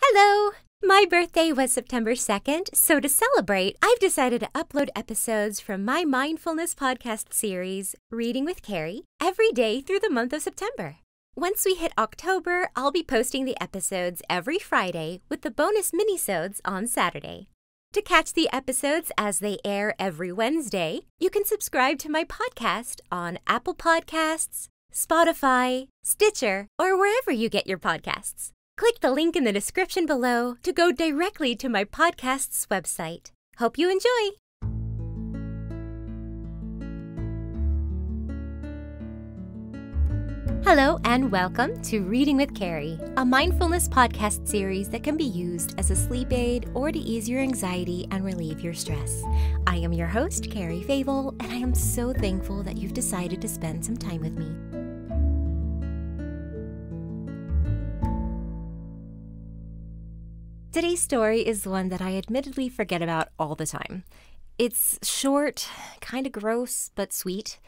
Hello! My birthday was September 2nd, so to celebrate, I've decided to upload episodes from my mindfulness podcast series, Reading with Carrie, every day through the month of September. Once we hit October, I'll be posting the episodes every Friday with the bonus minisodes on Saturday. To catch the episodes as they air every Wednesday, you can subscribe to my podcast on Apple Podcasts, Spotify, Stitcher, or wherever you get your podcasts. Click the link in the description below to go directly to my podcast's website. Hope you enjoy! Hello, and welcome to Reading with Carrie, a mindfulness podcast series that can be used as a sleep aid or to ease your anxiety and relief your stress. I am your host, Carrie Favel, and I am so thankful that you've decided to spend some time with me. Today's story is one that I admittedly forget about all the time. It's short, kind of gross, but sweet.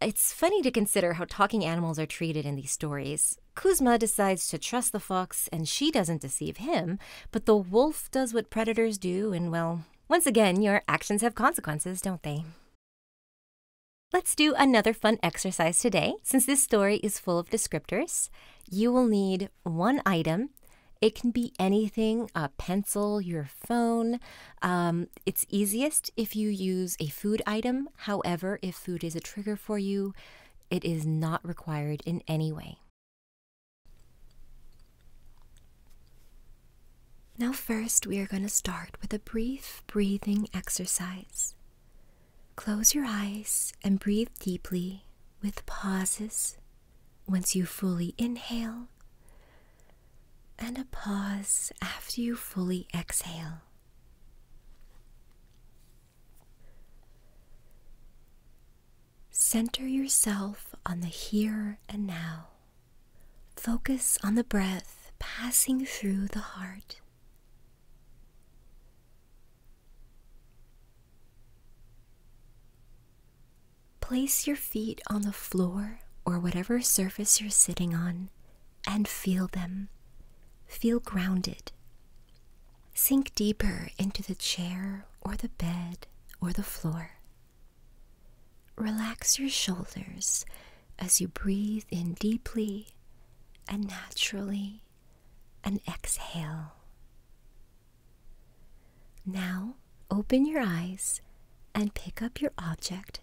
It's funny to consider how talking animals are treated in these stories. Kuzma decides to trust the fox, and she doesn't deceive him, but the wolf does what predators do, and well, once again, your actions have consequences, don't they? Let's do another fun exercise today. Since this story is full of descriptors, you will need one item. It can be anything a pencil, your phone. Um, it's easiest if you use a food item. However, if food is a trigger for you, it is not required in any way. Now, first, we are going to start with a brief breathing exercise. Close your eyes and breathe deeply with pauses once you fully inhale and a pause after you fully exhale. Center yourself on the here and now. Focus on the breath passing through the heart. Place your feet on the floor or whatever surface you're sitting on and feel them. Feel grounded. Sink deeper into the chair or the bed or the floor. Relax your shoulders as you breathe in deeply and naturally and exhale. Now open your eyes and pick up your object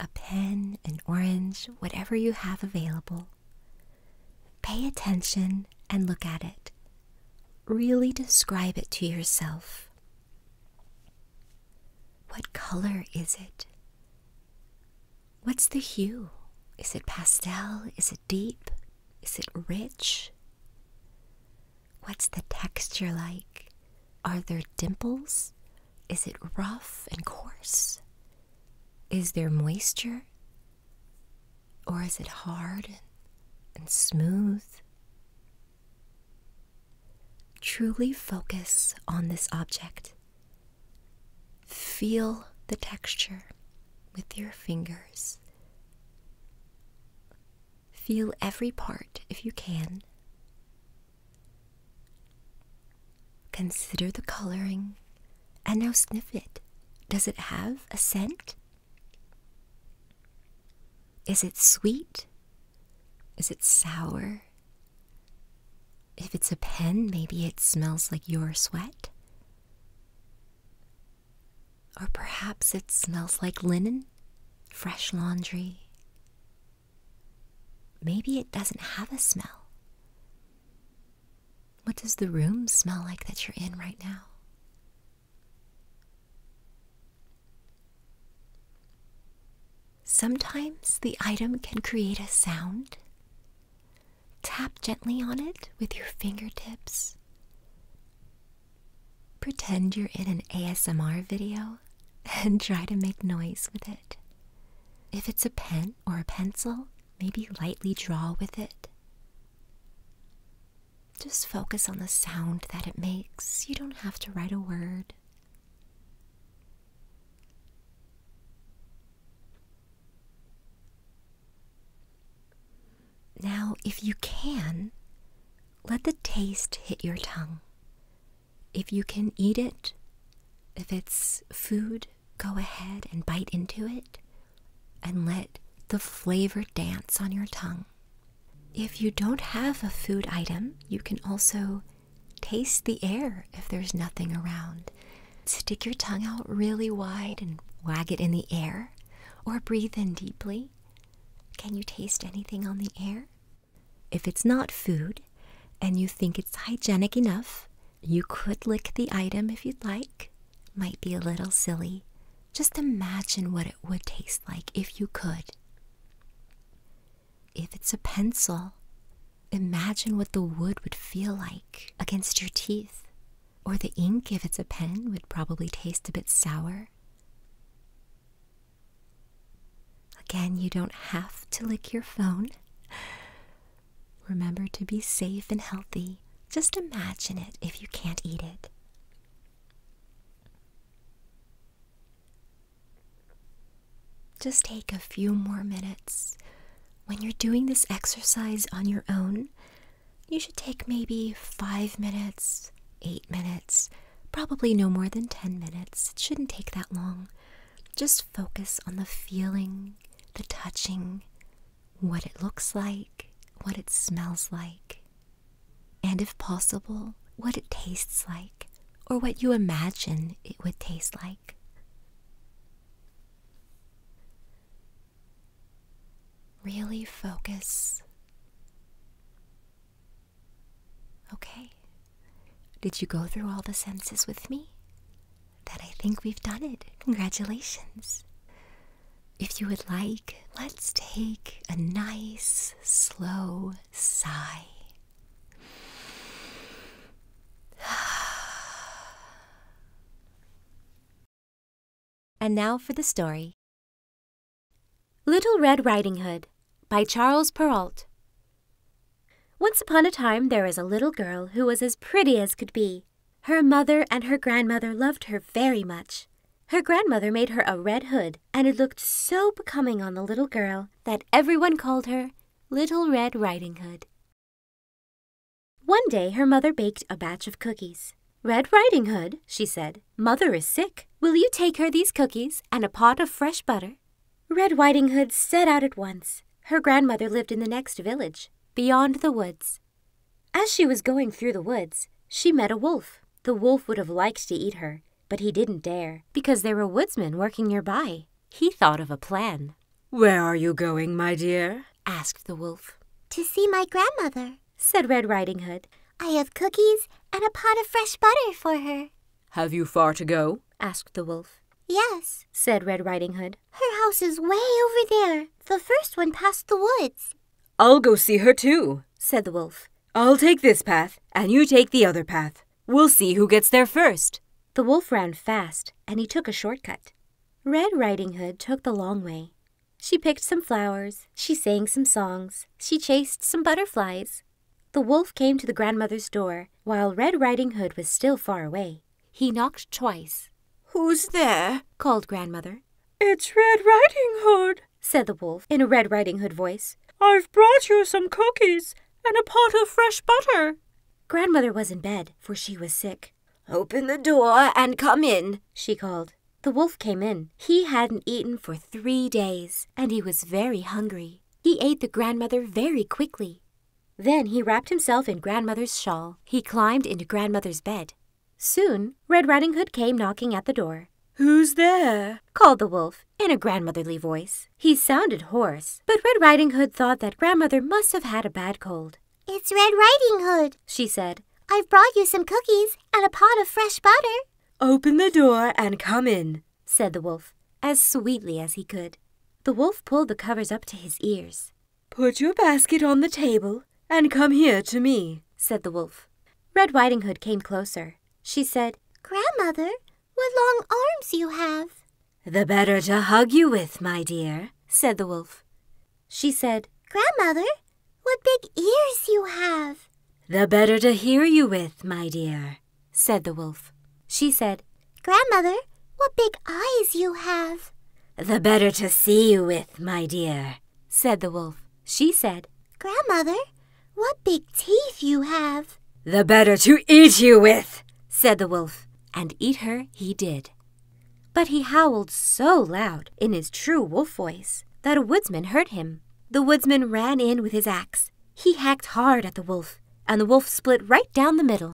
a pen, an orange, whatever you have available. Pay attention and look at it. Really describe it to yourself. What color is it? What's the hue? Is it pastel? Is it deep? Is it rich? What's the texture like? Are there dimples? Is it rough and coarse? Is there moisture? Or is it hard and, smooth? Truly focus on this object. Feel the texture with your fingers. Feel every part if you can. Consider the coloring and now sniff it. Does it have a scent? Is it sweet? Is it sour? If it's a pen, maybe it smells like your sweat. Or perhaps it smells like linen, fresh laundry. Maybe it doesn't have a smell. What does the room smell like that you're in right now? Sometimes the item can create a sound. Tap gently on it with your fingertips. Pretend you're in an ASMR video and try to make noise with it. If it's a pen or a pencil, Maybe lightly draw with it. Just focus on the sound that it makes. You don't have to write a word. Now, if you can, let the taste hit your tongue. If you can eat it, if it's food, go ahead and bite into it and let the flavor dance on your tongue. If you don't have a food item, you can also taste the air if there's nothing around. Stick your tongue out really wide and wag it in the air, or breathe in deeply. Can you taste anything on the air? If it's not food and you think it's hygienic enough, you could lick the item if you'd like. Might be a little silly. Just imagine what it would taste like if you could. If it's a pencil, imagine what the wood would feel like against your teeth. Or the ink, if it's a pen, would probably taste a bit sour. Again, you don't have to lick your phone. Remember to be safe and healthy. Just imagine it if you can't eat it. Just take a few more minutes. When you're doing this exercise on your own, you should take maybe five minutes, eight minutes, probably no more than 10 minutes. It shouldn't take that long. Just focus on the feeling, the touching, what it looks like, what it smells like, and if possible, what it tastes like, or what you imagine it would taste like. Really focus. Okay. Did you go through all the senses with me? that I think we've done it. Congratulations. If you would like, let's take a nice, slow sigh. And now for the story. Little Red Riding Hood by Charles Perrault. Once upon a time there was a little girl who was as pretty as could be. Her mother and her grandmother loved her very much. Her grandmother made her a red hood, and it looked so becoming on the little girl that everyone called her Little Red Riding Hood. One day her mother baked a batch of cookies. Red Riding Hood, she said, Mother is sick. Will you take her these cookies and a pot of fresh butter? Red Riding Hood set out at once. Her grandmother lived in the next village, beyond the woods. As she was going through the woods, she met a wolf. The wolf would have liked to eat her, but he didn't dare, because there were woodsmen working nearby. He thought of a plan. Where are you going, my dear? asked the wolf. To see my grandmother, said Red Riding Hood. I have cookies and a pot of fresh butter for her. Have you far to go? asked the wolf. Yes, said Red Riding Hood. Her house is way over there, the first one past the woods. I'll go see her too, said the wolf. I'll take this path, and you take the other path. We'll see who gets there first. The wolf ran fast, and he took a shortcut. Red Riding Hood took the long way. She picked some flowers, she sang some songs, she chased some butterflies. The wolf came to the grandmother's door, while Red Riding Hood was still far away. He knocked twice. Who's there? called Grandmother. It's Red Riding Hood, said the wolf in a Red Riding Hood voice. I've brought you some cookies and a pot of fresh butter. Grandmother was in bed, for she was sick. Open the door and come in, she called. The wolf came in. He hadn't eaten for three days, and he was very hungry. He ate the grandmother very quickly. Then he wrapped himself in grandmother's shawl. He climbed into grandmother's bed. Soon, Red Riding Hood came knocking at the door. Who's there? called the wolf in a grandmotherly voice. He sounded hoarse, but Red Riding Hood thought that grandmother must have had a bad cold. It's Red Riding Hood, she said. I've brought you some cookies and a pot of fresh butter. Open the door and come in, said the wolf, as sweetly as he could. The wolf pulled the covers up to his ears. Put your basket on the table and come here to me, said the wolf. Red Riding Hood came closer. She said, Grandmother, what long arms you have. The better to hug you with, my dear, said the wolf. She said, Grandmother, what big ears you have. The better to hear you with, my dear, said the wolf. She said, Grandmother, what big eyes you have! The better to see you with, my dear, said the wolf. She said, Grandmother, what big teeth you have! The better to eat you with, said the wolf. And eat her he did. But he howled so loud in his true wolf voice that a woodsman heard him. The woodsman ran in with his axe he hacked hard at the wolf, and the wolf split right down the middle.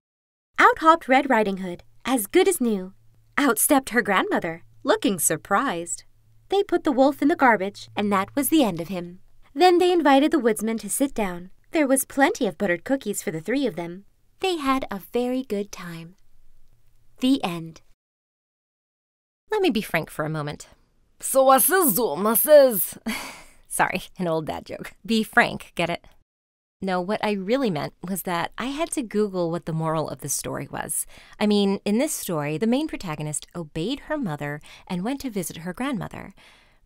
Out hopped Red Riding Hood, as good as new. Out stepped her grandmother, looking surprised. They put the wolf in the garbage, and that was the end of him. Then they invited the woodsman to sit down. There was plenty of buttered cookies for the three of them. They had a very good time. The end. Let me be frank for a moment. So was is, so was is. Sorry, an old dad joke. Be frank, get it? No, what I really meant was that I had to Google what the moral of the story was. I mean, in this story, the main protagonist obeyed her mother and went to visit her grandmother.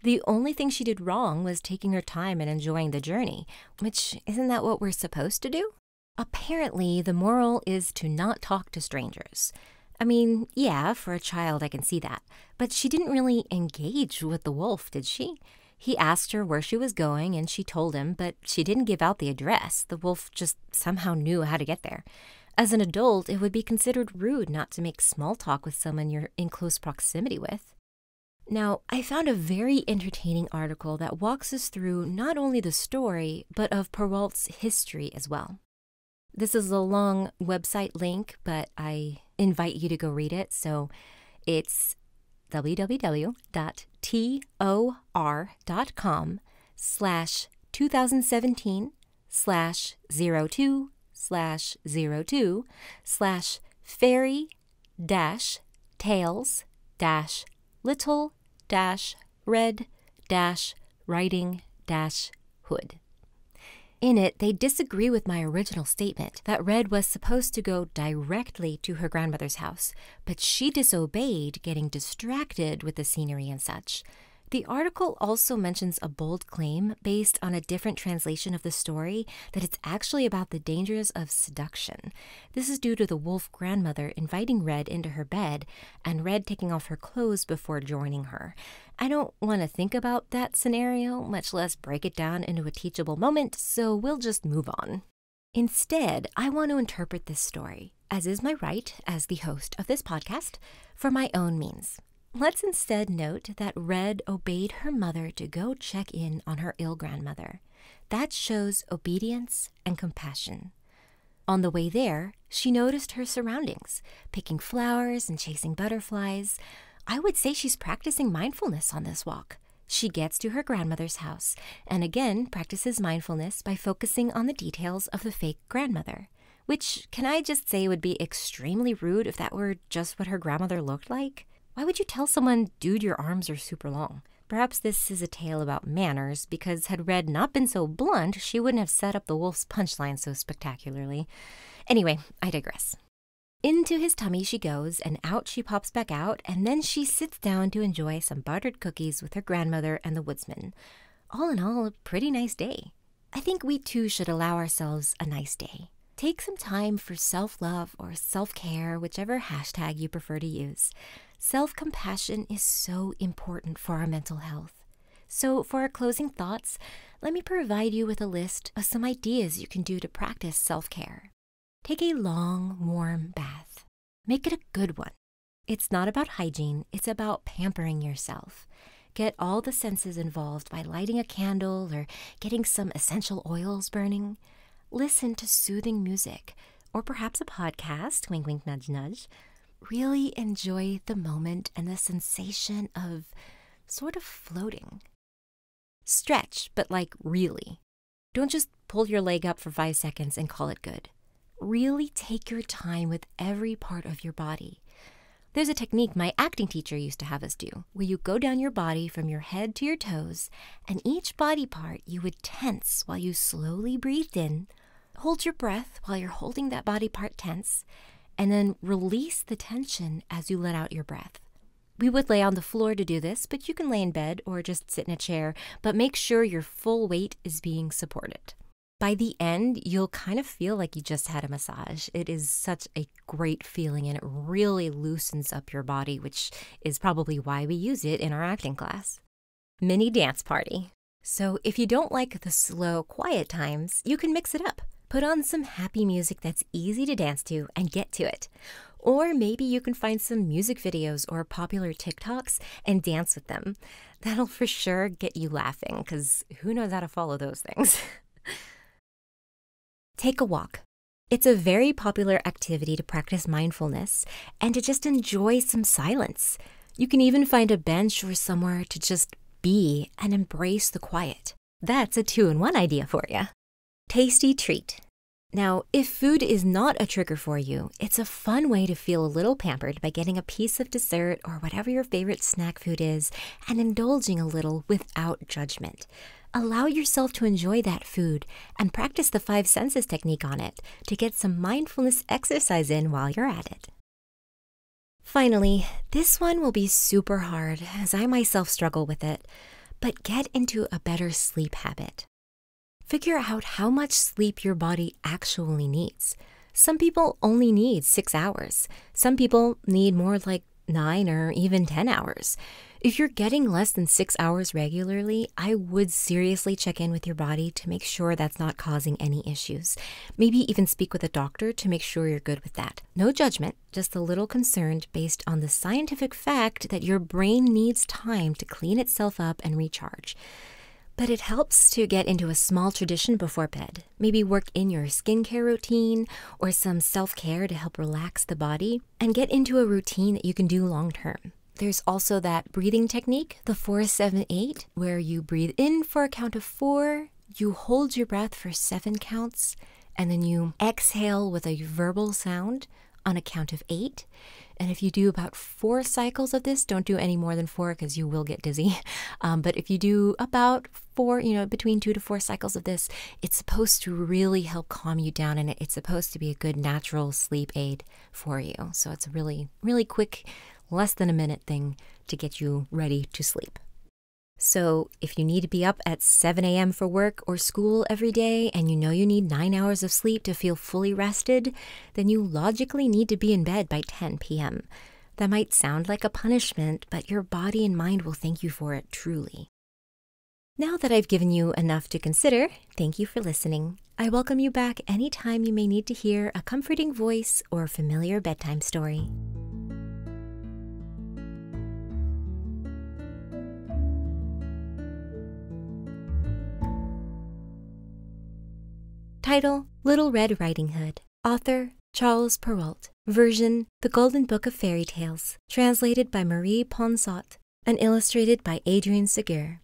The only thing she did wrong was taking her time and enjoying the journey, which isn't that what we're supposed to do? Apparently, the moral is to not talk to strangers. I mean, yeah, for a child, I can see that. But she didn't really engage with the wolf, did she? He asked her where she was going, and she told him, but she didn't give out the address. The wolf just somehow knew how to get there. As an adult, it would be considered rude not to make small talk with someone you're in close proximity with. Now, I found a very entertaining article that walks us through not only the story, but of Perwalt's history as well. This is a long website link, but I invite you to go read it. So it's www.tor.com slash 2017 slash 02 slash 02 slash fairy dash tales dash little dash red dash writing dash hood. In it, they disagree with my original statement that Red was supposed to go directly to her grandmother's house, but she disobeyed, getting distracted with the scenery and such. The article also mentions a bold claim based on a different translation of the story that it's actually about the dangers of seduction. This is due to the wolf grandmother inviting Red into her bed and Red taking off her clothes before joining her. I don't want to think about that scenario, much less break it down into a teachable moment, so we'll just move on. Instead, I want to interpret this story, as is my right as the host of this podcast, for my own means. Let's instead note that Red obeyed her mother to go check in on her ill grandmother. That shows obedience and compassion. On the way there, she noticed her surroundings, picking flowers and chasing butterflies. I would say she's practicing mindfulness on this walk. She gets to her grandmother's house and again practices mindfulness by focusing on the details of the fake grandmother, which, can I just say, would be extremely rude if that were just what her grandmother looked like? Why would you tell someone, dude, your arms are super long? Perhaps this is a tale about manners, because had Red not been so blunt, she wouldn't have set up the wolf's punchline so spectacularly. Anyway, I digress. Into his tummy she goes, and out she pops back out, and then she sits down to enjoy some buttered cookies with her grandmother and the woodsman. All in all, a pretty nice day. I think we too should allow ourselves a nice day. Take some time for self love or self care, whichever hashtag you prefer to use. Self compassion is so important for our mental health. So, for our closing thoughts, let me provide you with a list of some ideas you can do to practice self care. Take a long, warm bath. Make it a good one. It's not about hygiene, it's about pampering yourself. Get all the senses involved by lighting a candle or getting some essential oils burning. Listen to soothing music or perhaps a podcast, wink, wink, nudge, nudge. Really enjoy the moment and the sensation of sort of floating. Stretch, but like really. Don't just pull your leg up for five seconds and call it good. Really take your time with every part of your body. There's a technique my acting teacher used to have us do, where you go down your body from your head to your toes, and each body part you would tense while you slowly breathed in, Hold your breath while you're holding that body part tense, and then release the tension as you let out your breath. We would lay on the floor to do this, but you can lay in bed or just sit in a chair, but make sure your full weight is being supported. By the end, you'll kind of feel like you just had a massage. It is such a great feeling and it really loosens up your body, which is probably why we use it in our acting class. Mini dance party. So if you don't like the slow, quiet times, you can mix it up. Put on some happy music that's easy to dance to and get to it. Or maybe you can find some music videos or popular TikToks and dance with them. That'll for sure get you laughing, because who knows how to follow those things? Take a walk. It's a very popular activity to practice mindfulness and to just enjoy some silence. You can even find a bench or somewhere to just be and embrace the quiet. That's a two in one idea for you. Tasty treat. Now, if food is not a trigger for you, it's a fun way to feel a little pampered by getting a piece of dessert or whatever your favorite snack food is and indulging a little without judgment. Allow yourself to enjoy that food and practice the five senses technique on it to get some mindfulness exercise in while you're at it. Finally, this one will be super hard as I myself struggle with it, but get into a better sleep habit. Figure out how much sleep your body actually needs. Some people only need six hours, some people need more like nine or even 10 hours. If you're getting less than six hours regularly, I would seriously check in with your body to make sure that not causing any issues. Maybe even speak with a doctor to make sure you're good with that. No judgment, just a little concerned based on the scientific fact that your brain needs time to clean itself up and recharge. But it helps to get into a small tradition before bed. Maybe work in your skincare routine or some self care to help relax the body and get into a routine that you can do long term. There's also that breathing technique, the 478, where you breathe in for a count of four, you hold your breath for seven counts, and then you exhale with a verbal sound on a count of eight. And if you do about four cycles of this, don't do any more than four because you will get dizzy. Um, but if you do about four, you know, between two to four cycles of this, it's supposed to really help calm you down and it's supposed to be a good natural sleep aid for you. So it's really, really quick less than a minute thing to get you ready to sleep. So, if you need to be up at 7 a.m. for work or school every day and you know you need nine hours of sleep to feel fully rested, then you logically need to be in bed by 10 p.m. That might sound like a punishment, but your body and mind will thank you for it truly. Now that I've given you enough to consider, thank you for listening. I welcome you back anytime you may need to hear a comforting voice or familiar bedtime story. Title Little Red Riding Hood. Author Charles Perrault. Version The Golden Book of Fairy Tales. Translated by Marie Ponsot and illustrated by Adrian Segur.